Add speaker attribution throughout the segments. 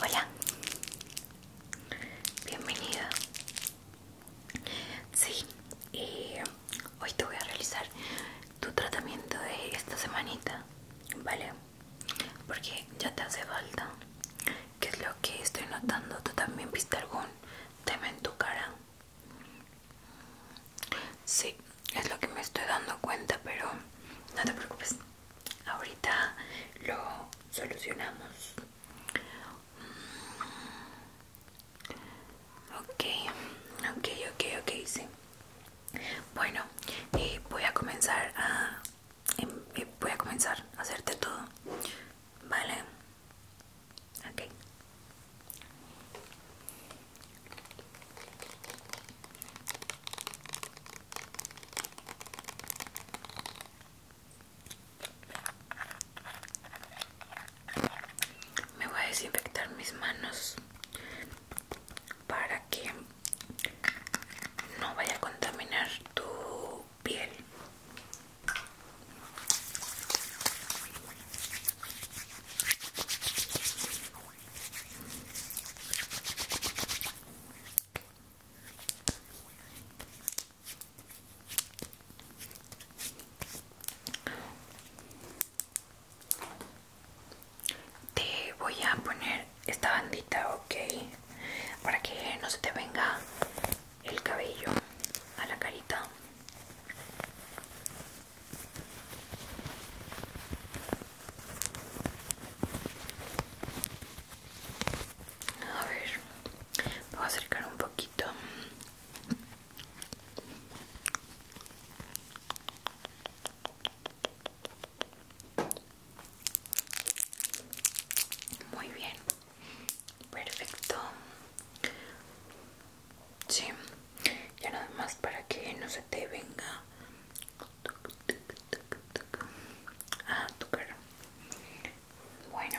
Speaker 1: Hola, bienvenida. Sí, eh, hoy te voy a realizar tu tratamiento de esta semanita, ¿vale? Porque ya te hace falta. ¿Qué es lo que estoy notando? ¿Tú también viste algún tema en tu cara? Sí, es lo que me estoy dando cuenta, pero no te preocupes. Ahorita lo solucionamos. Ok, ok, ok, ok, sí. Bueno, y eh, voy a comenzar a em, eh, voy a comenzar a hacerte todo. Vale. Ok. Me voy a desinfectar mis manos para que no vaya a contaminar tu piel. Te voy a poner esta bandita, ok, para que no se te venga el cabello a la carita. A ver, voy a acercar un poquito. Muy bien, perfecto. Sí, ya nada más para que no se te venga Ah, tu cara. Bueno,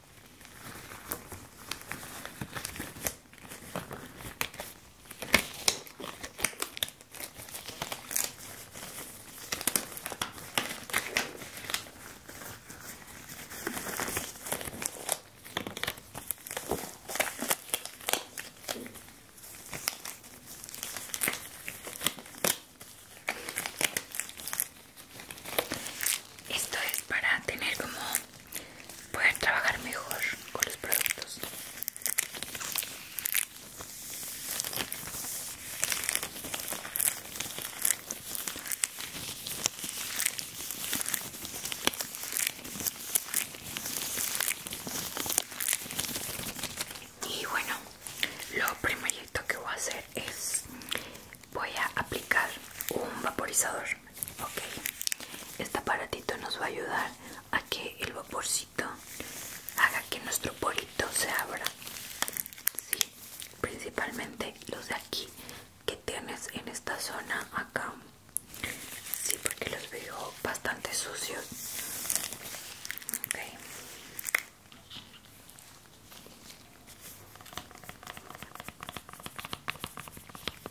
Speaker 1: Esto es para tener como Pueden trabajar mejor con los productos. Y bueno, lo primerito que voy a hacer es voy a aplicar un vaporizador ok este aparatito nos va a ayudar a que el vaporcito haga que nuestro polito se abra sí, principalmente los de aquí que tienes en esta zona acá sí porque los veo bastante sucios ok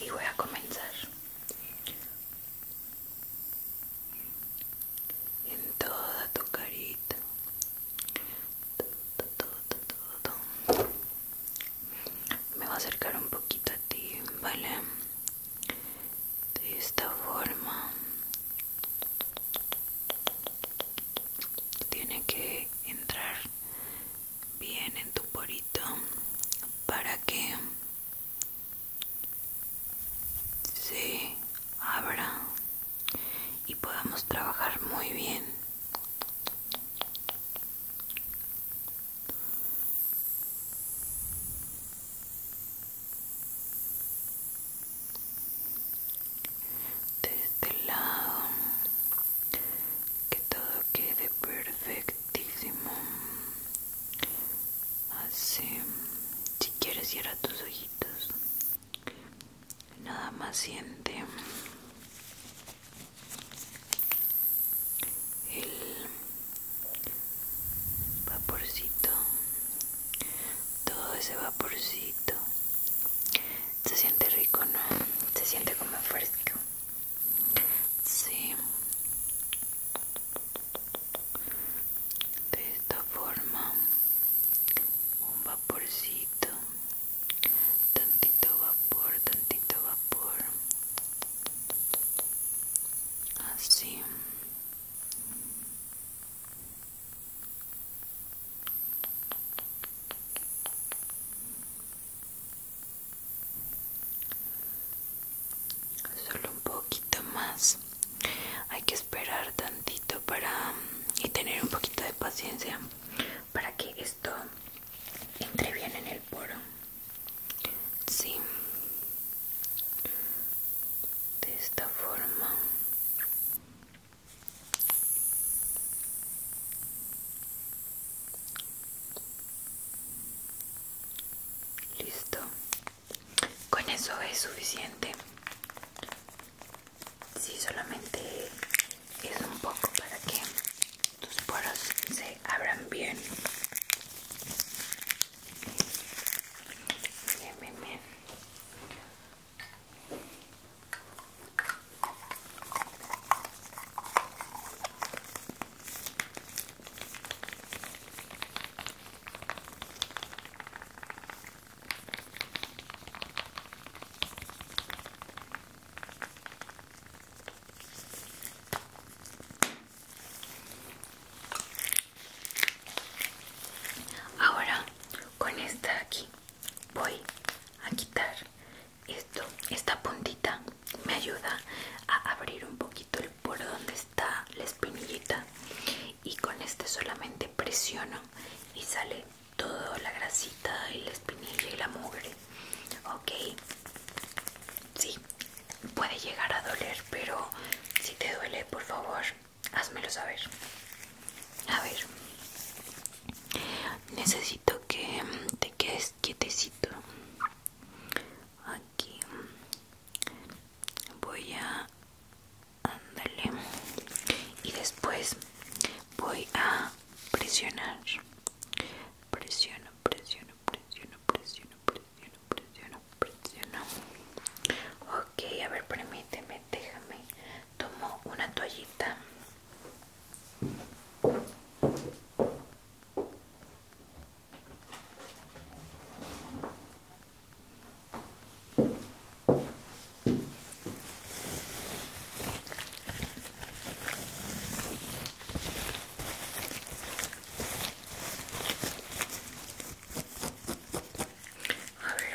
Speaker 1: y voy a comenzar en toda tu carita me voy a acercar un poquito a ti vale de esta forma tiene que entrar bien en tu porito para que se abra y podamos trabajar muy bien de este lado que todo quede perfectísimo así si quieres cierra tus ojitos nada más siente el vaporcito todo ese vaporcito se siente rico no se siente como fresco Sí. De esta forma, un vaporcito, tantito vapor, tantito vapor, así solo un poquito más hay que esperar tantito para y tener un poquito de paciencia para que esto entre bien en el poro sí de esta forma Listo. Con eso es suficiente. Si solamente es un poco para que tus poros se abran bien. Bien, bien, bien. Ahora con esta aquí voy a quitar esto, esta puntita me ayuda a abrir un poquito el por donde está la espinillita y con este solamente presiono y sale toda la grasita y la espinilla y la mugre ok sí puede llegar a doler pero si te duele por favor házmelo saber a ver necesito que te quedes quietecito aquí voy a andarle y después voy a presionar presiono presiono presiono presiono presiono presiono presiono ok a ver permíteme déjame tomo una toallita a ver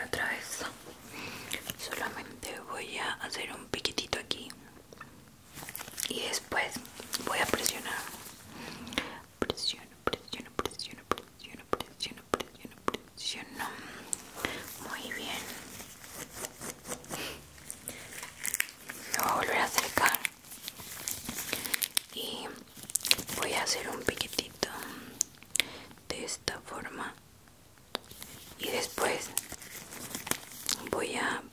Speaker 1: otra vez. Solamente voy a hacer un piquetito aquí y después voy a presionar presiono presiono presiono presiono presiono presiono presiono muy bien lo voy a volver a acercar y voy a hacer un piquetito de esta forma y después voy a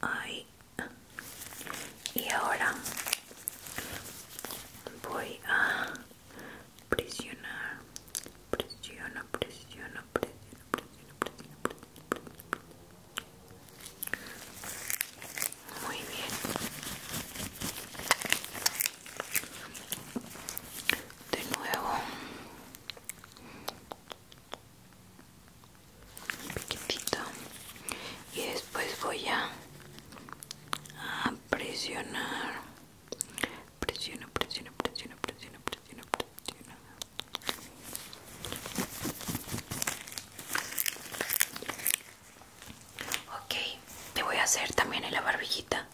Speaker 1: Ahí. Y ahora voy a presionar. Presiona, presiona, presiona, presiona, presiona, presiona. Muy bien. De nuevo poquitito y después voy a, a presionar presiono presiono presiono presiono presiono presiono ok te voy a hacer también en la barbillita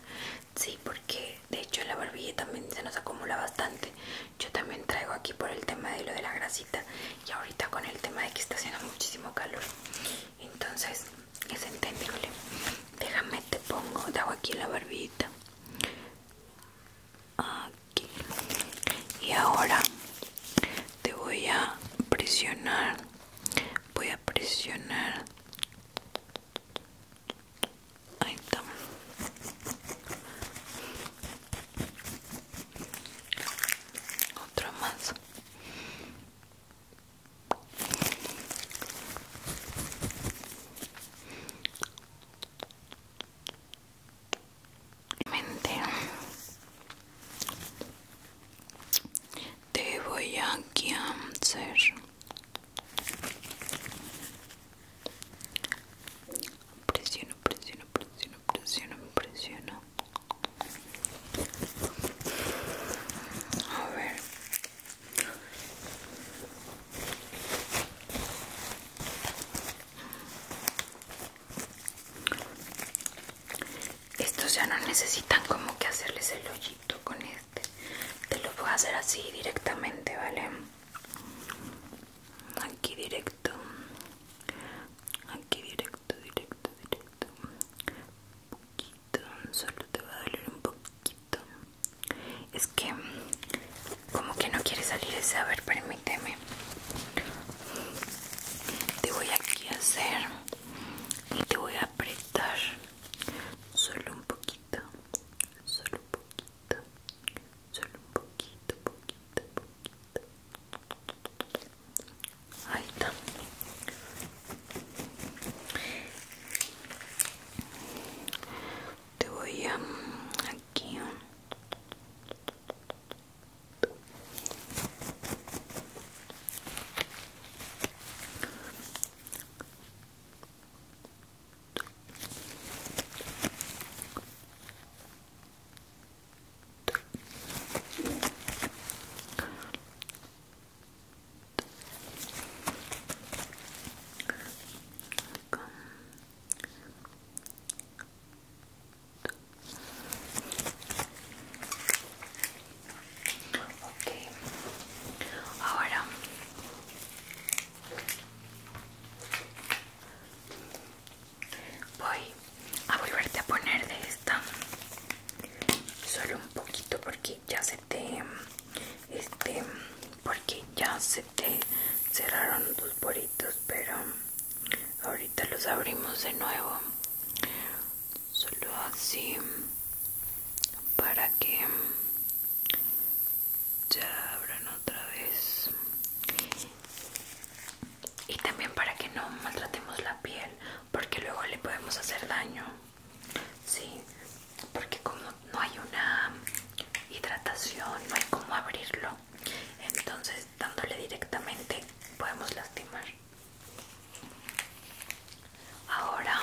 Speaker 1: sí porque de hecho en la barbilla también se nos acumula bastante yo también traigo aquí por el tema de lo de la grasita y ahorita con el tema de que está haciendo muchísimo calor entonces es entendible déjame te pongo te hago aquí la barbita aquí y ahora te voy a presionar voy a presionar Ahí está. Otra más. Mente. Te voy a answer. Presiono, presiono, presiono, presiono, presiono. A ver. Estos ya no necesitan como que hacerles el hoyito con este. Te lo a hacer así directamente, ¿vale? aquí directo aquí directo directo directo un poquito solo te va a doler un poquito es que como que no quiere salir ese a ver permíteme te voy aquí a hacer y te voy a apretar solo un poquito solo un poquito solo un poquito, poquito, poquito. Ahí está. Te voy a mm, aquí. Mm. Okay. Ahora. Voy a volverte a poner de esta solo un poquito porque ya se te este porque ya se te cerraron tus poritos pero ahorita los abrimos de nuevo solo así para que ya abran otra vez y también para que no maltratemos la piel porque luego le podemos hacer daño sí porque como no hay una hidratación no hay como abrirlo entonces dándole directamente podemos lastimar ahora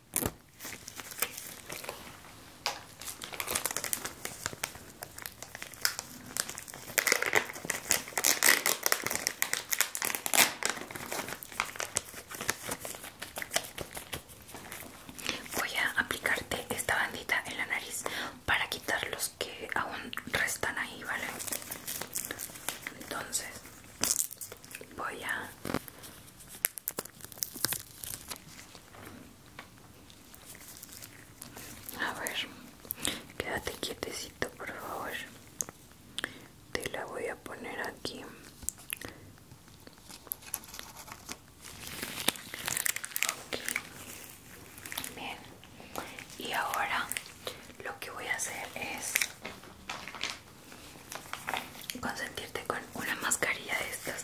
Speaker 1: Voy a aplicarte esta bandita en la nariz para quitar los que aún restan ahí, ¿vale? Entonces voy a a ver, quédate quietecito, por favor. Te la voy a poner aquí. ok Bien. Y ahora lo que voy a hacer es consentirte con una mascarilla de estas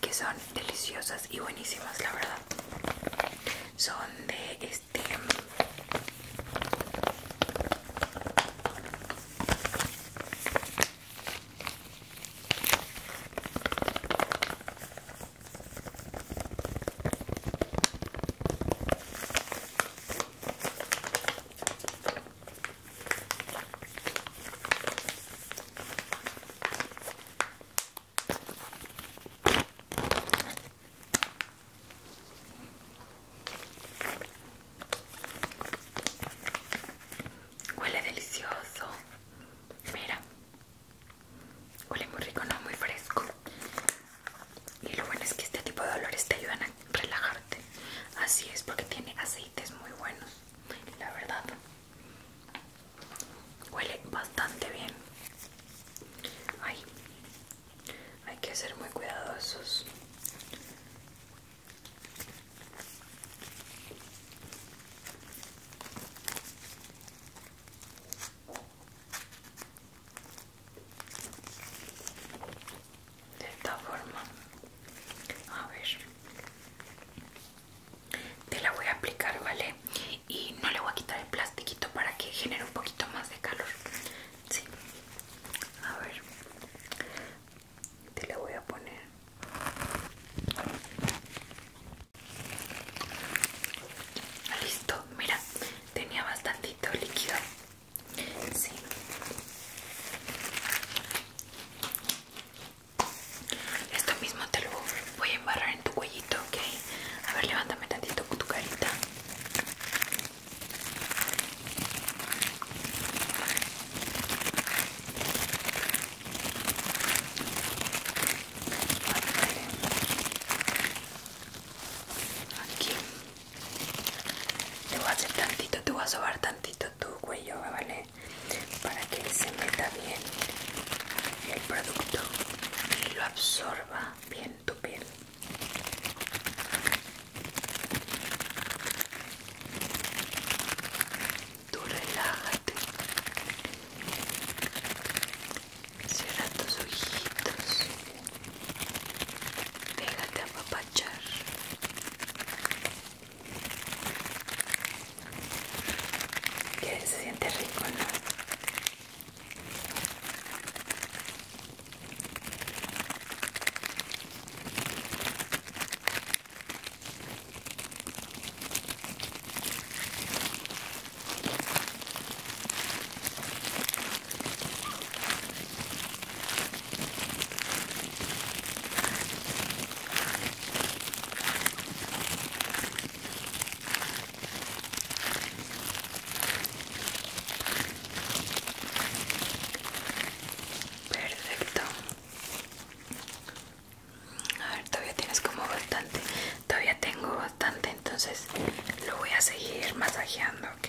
Speaker 1: que son deliciosas y buenísimas la verdad son de este Huele delicioso. Mira. Huele muy rico, no muy fresco. Y lo bueno es que este tipo de olores te ayudan a relajarte. Así es, porque tiene aceites muy buenos, la verdad. Huele bastante bien. Ay, hay que ser muy cuidadosos de esta forma a ver te la voy a aplicar vale y no le voy a quitar el plastiquito para que genere un poquito más de calor sí a ver te la voy a poner listo mira tenía bastantito líquido Sí. Esto mismo te lo voy a embarrar en tu cuellito, ¿ok? A ver, levántame tantito con tu carita. Aquí te voy a hacer tantito, te voy a sobar tantito tu cuello, ¿vale? Para que se meta bien el producto y lo absorba bien tu piel. Tú relájate. Cierra tus ojitos. Déjate a papá. Qué Que se siente rico, ¿no? Perfecto. A ver, todavía tienes como bastante. Todavía tengo bastante, entonces lo voy a seguir masajeando, ¿ok?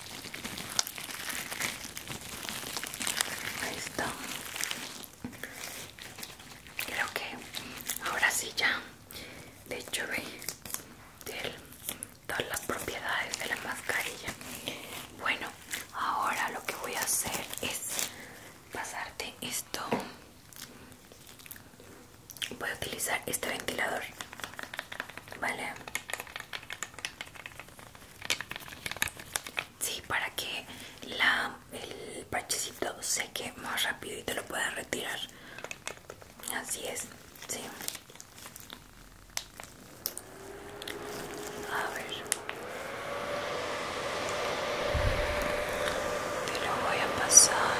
Speaker 1: Ahí está. Creo que ahora sí ya. De hecho, veis todas las propiedades de la mascarilla. Bueno, ahora lo que voy a hacer es pasarte esto. Voy a utilizar este ventilador. Vale. Sí, para que la, el parchecito seque más rápido y te lo puedas retirar. Así es, sí. A ver. Te lo voy a pasar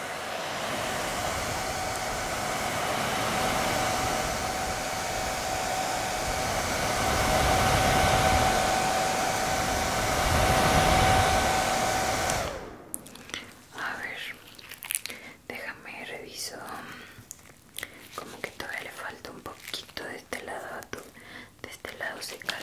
Speaker 1: A ver, déjame reviso. Como que todavía le falta un poquito de este lado, de este lado secar.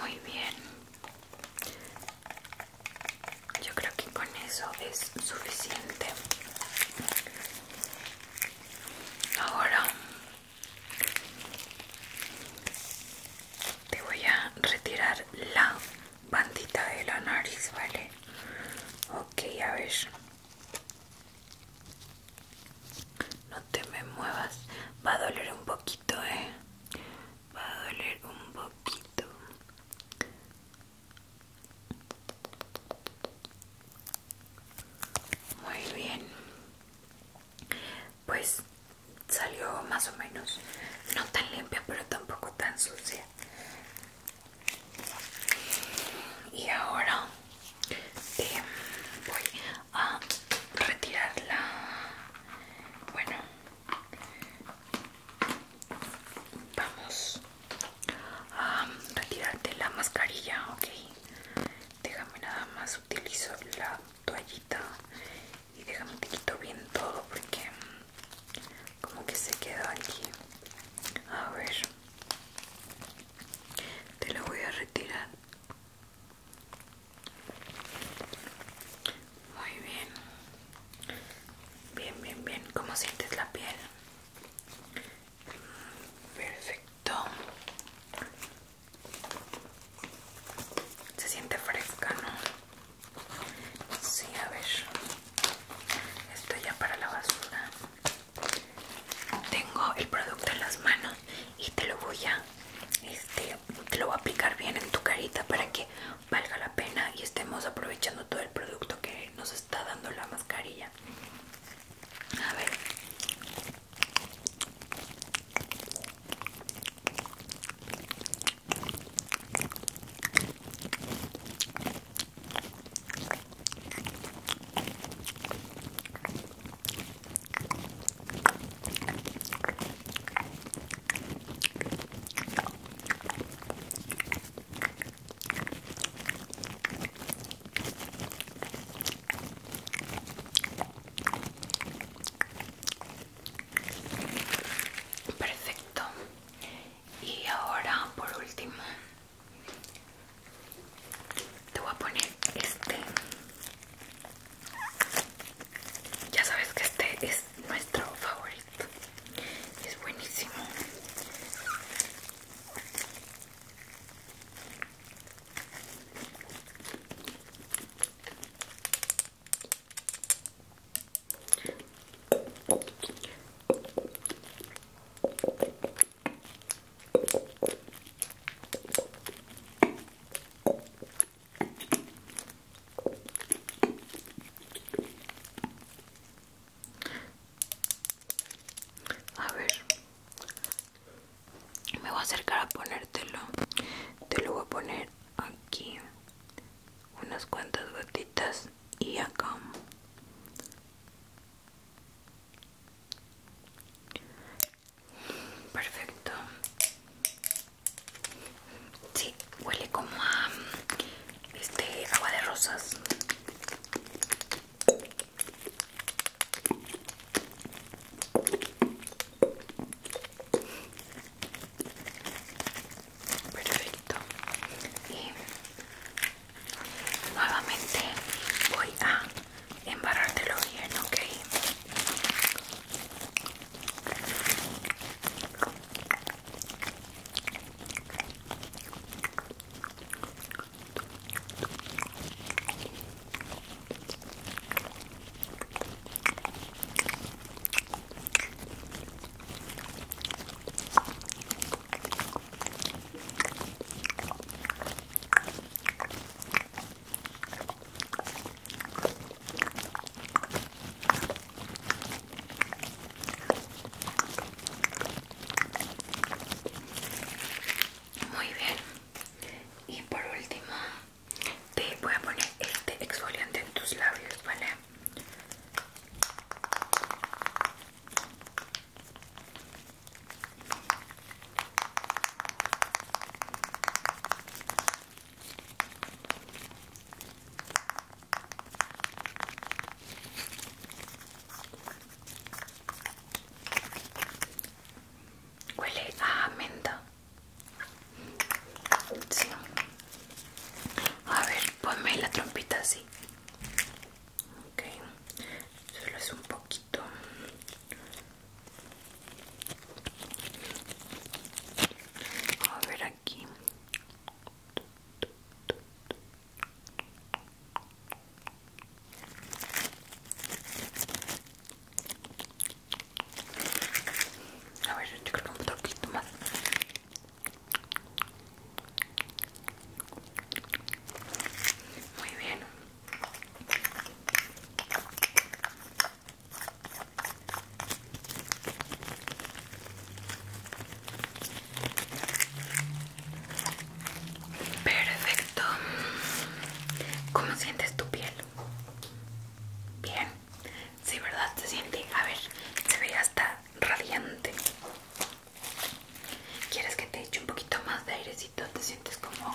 Speaker 1: Muy bien. Yo creo que con eso es suficiente. Ahora te voy a retirar la bandita de la nariz, ¿vale? Ok, a ver. No te me muevas. Va a doler un poquito, eh. Va a doler un poquito. Muy bien. Pues salió más o menos. No tan limpia, pero tampoco tan sucia. Y ahora eh, voy a retirarla bueno vamos a retirarte la mascarilla ok déjame nada más utilizo la toallita y déjame un quito bien todo porque como que se queda aquí a ver te la voy a retirar muy bien. Bien, bien, bien. ¿Cómo sientes la piel? Perfecto. Se siente fresca, ¿no? Sí, a ver. Esto ya para la basura. Tengo el producto en las manos y te lo voy a este, te lo voy a aplicar bien en tu carita para que valga la pena y estemos aprovechando todo el producto que nos está dando la mascarilla. A ver. Perfecto. Y ahora por último te voy a poner este ya sabes que este es nuestro favorito es buenísimo a ver, me voy a acercar a ponértelo. Te lo voy a poner aquí, unas cuantas gotitas y acá. Perfecto. Sí, huele como a este agua de rosas. Perfecto. Y nuevamente voy a embarrártelo bien, ok. Muy bien. Y por último, te voy a poner este exfoliante en tus labios, ¿vale? Huele a menta. A ver, ponme la trompita así. Ok. Solo es un poquito. A ver aquí. A ver, yo creo un poquito más. Muy bien. Perfecto. ¿Cómo sientes tu piel? Bien. Sí, ¿verdad? Se siente. A ver, se ve hasta radiante. ¿Quieres que te eche un poquito más de airecito? ¿Te sientes como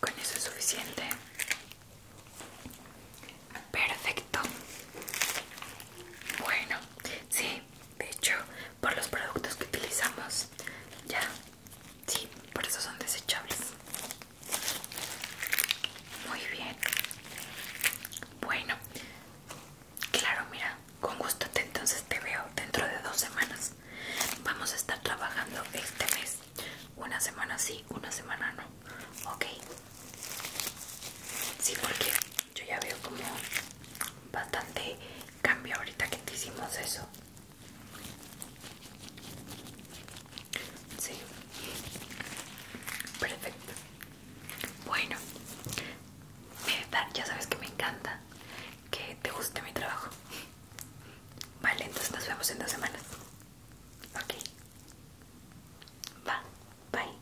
Speaker 1: Con eso es suficiente. Perfecto. Bueno, sí, de hecho, por los productos que utilizamos, ya, sí, por eso son desechables. Muy bien. Bueno, Claro, mira, con gusto te, entonces te veo dentro de dos semanas. Vamos a estar trabajando este mes. Una semana sí, una semana no. Ok. Sí, porque yo ya veo como bastante cambio ahorita que te hicimos eso. Sí. Perfecto. Bueno, eh, ya sabes que me encanta que te guste mi trabajo. Vale, entonces nos vemos en dos semanas. Ok. Va, bye.